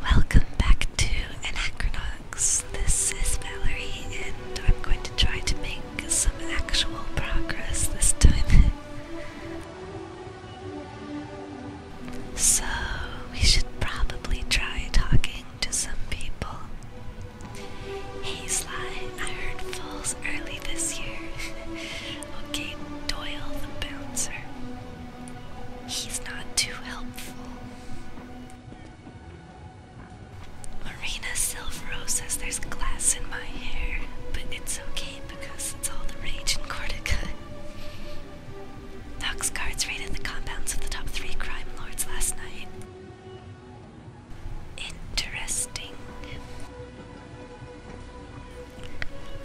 Welcome back to Anachronox. This is Valerie, and I'm going to try to make some actual progress this time. so, we should probably try talking to some people. Hey Sly, I heard Falls early this year. okay, Doyle the Bouncer. He's not too helpful. Marina Silvero says there's glass in my hair, but it's okay because it's all the rage in Cortica. Nox guards raided the compounds of the top three crime lords last night. Interesting.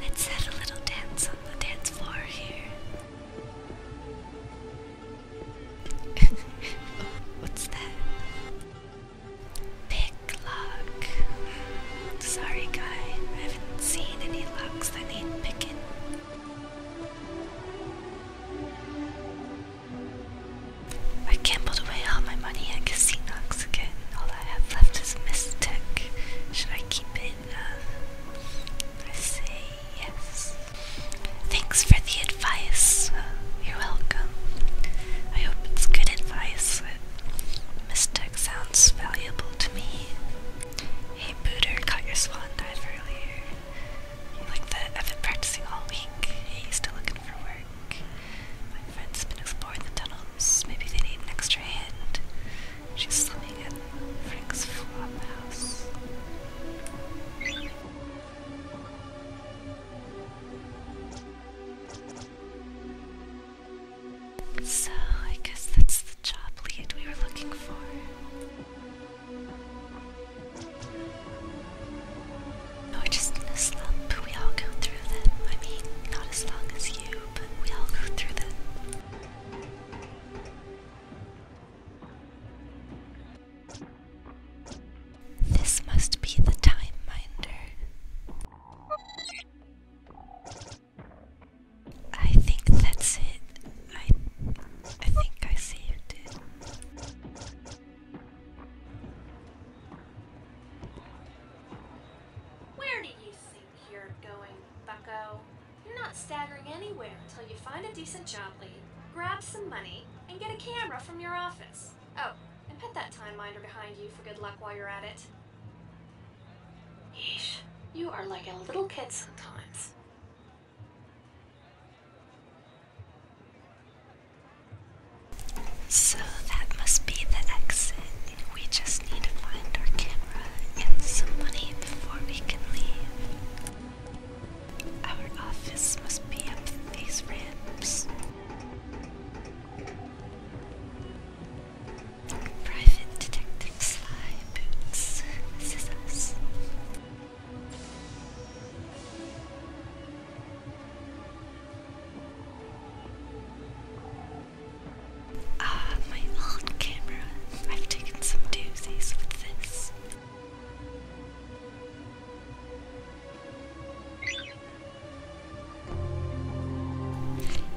Let's have a little dance on the dance floor here. what's that? Pick lock. Sorry, guy. I haven't seen any locks that need picking. I gambled away all my money at Casinox again. All I have left is Mystic. Should I keep it? I say yes. Thanks for the advice. You're welcome. I hope it's good advice. Mistech sounds valuable to me. Hey, Booter, caught your swan dive earlier. Like that, I've been practicing all week. He's still looking for work. My friend's been explore the tunnels. Maybe they need an extra hand. She's swimming at Frank's flop So, I guess that's the job lead we were looking for. We're just in a slump. We all go through them. I mean, not as long as you. This must be the time minder. I think that's it. I I think I saved it. Where do you think you're going, bucko? You're not staggering anywhere until you find a decent job lead, grab some money, and get a camera from your office. Oh, and put that time minder behind you for good luck while you're at it. Yeesh, you are like a little kid sometimes. So that must be the exit. We just need to find our camera and some money before we can leave. Our office must be up these ramps. Private Detective Sly Boots. This is us. Ah, my old camera. I've taken some doozies with this.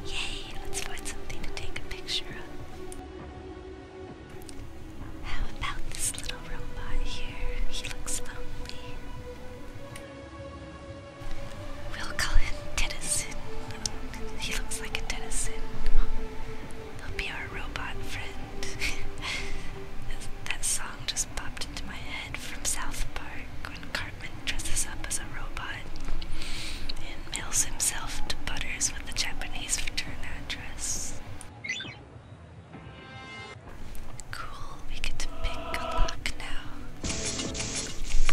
Yay, let's find something to take a picture of. How about this little robot here? He looks lonely will call him He looks like a Tennyson. He'll be our robot friend. that song just popped into my head from South Park when Cartman dresses up as a robot and mails himself to Butters with the Japanese return address. Cool, we get to pick a lock now.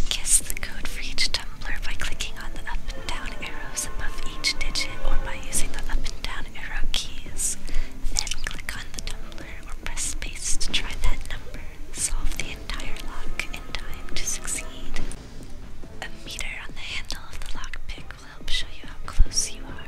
Guess the code for each tumbler by clicking on the up and down arrows above each digit or by using the up and down arrow keys. Then click on the tumbler or press space to try that number. Solve the entire lock in time to succeed. A meter on the handle of the lockpick will help show you how close you are.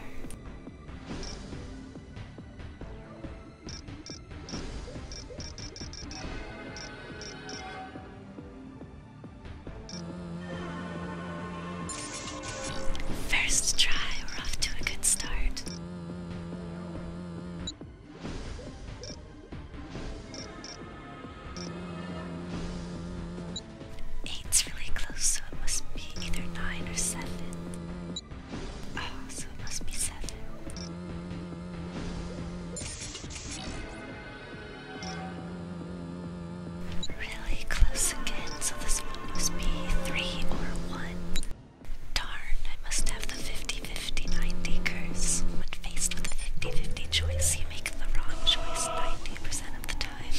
First try, we're off to a good start. Eight's really close, so it must be either nine or seven. Oh, so it must be seven. Really close again, so this must be three or one. Darn, I must have the 50 50 curse. When faced with a 50 50 choice, you make the wrong choice 90% of the time.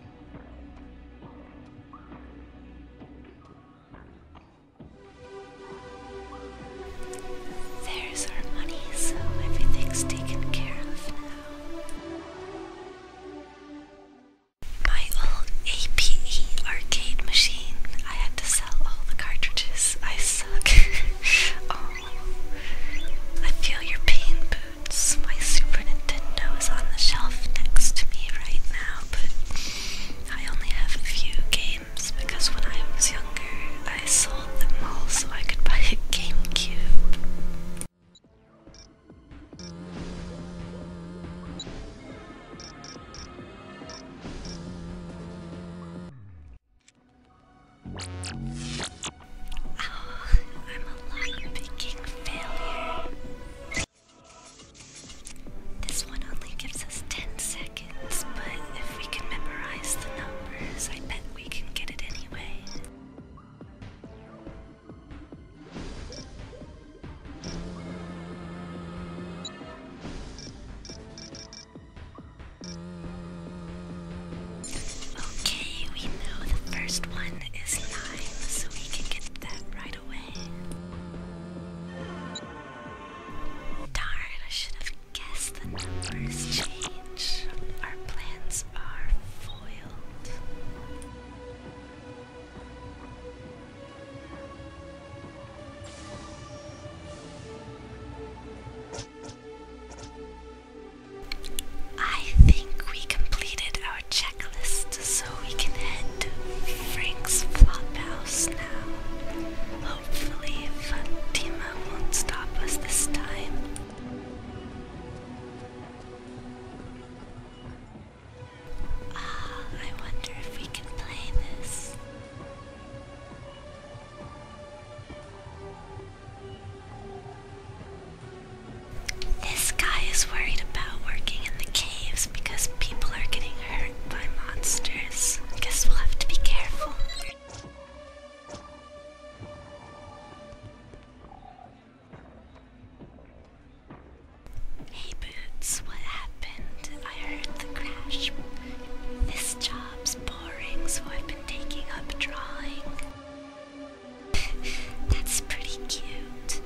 There's our money, so everything's taken care of now. My old APE arcade machine. I had to sell all the cartridges. I suck. oh. I feel your pain, my Super Nintendo is on the shelf next to me right now, but I only have a few games because when I was younger, I sold them all so I could buy a GameCube. Oh, I'm a lock failure. This one only gives us 10 seconds, but if we can memorize the numbers, I bet we can get it anyway. Okay, we know the first one is nine, so we can get that right away. Darn, I should have guessed the numbers change. Our plans are foiled. I think we completed our checklist, so we can head to Frank's House now. Hopefully, Fatima won't stop us this time. Ah, I wonder if we can play this. This guy is worried about working in the caves because people are getting hurt by monsters. Guess we'll have to be careful. Hey Boots, what happened? I heard the crash. This job's boring, so I've been taking up drawing. That's pretty cute.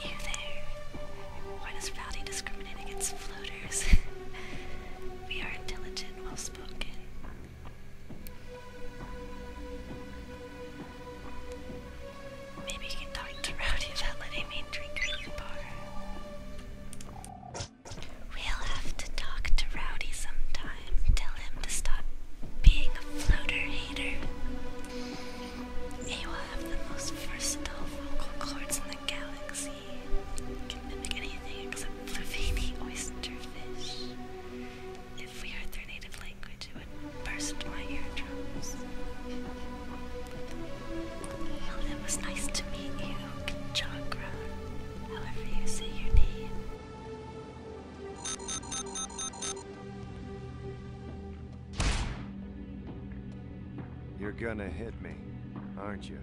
You there. Why does Rowdy discriminate against floaters? we are intelligent, well spoken, Maybe you can talk to Rowdy about letting me drink at the bar. We'll have to talk to Rowdy sometime. Tell him to stop being a floater hater. He will have the most versatile vocal cords in the galaxy. Can mimic anything except Fluffy oyster if we heard their native language, it would burst my eardrums. it oh, was nice to meet you, Chakra, however you say your name. You're gonna hit me, aren't you?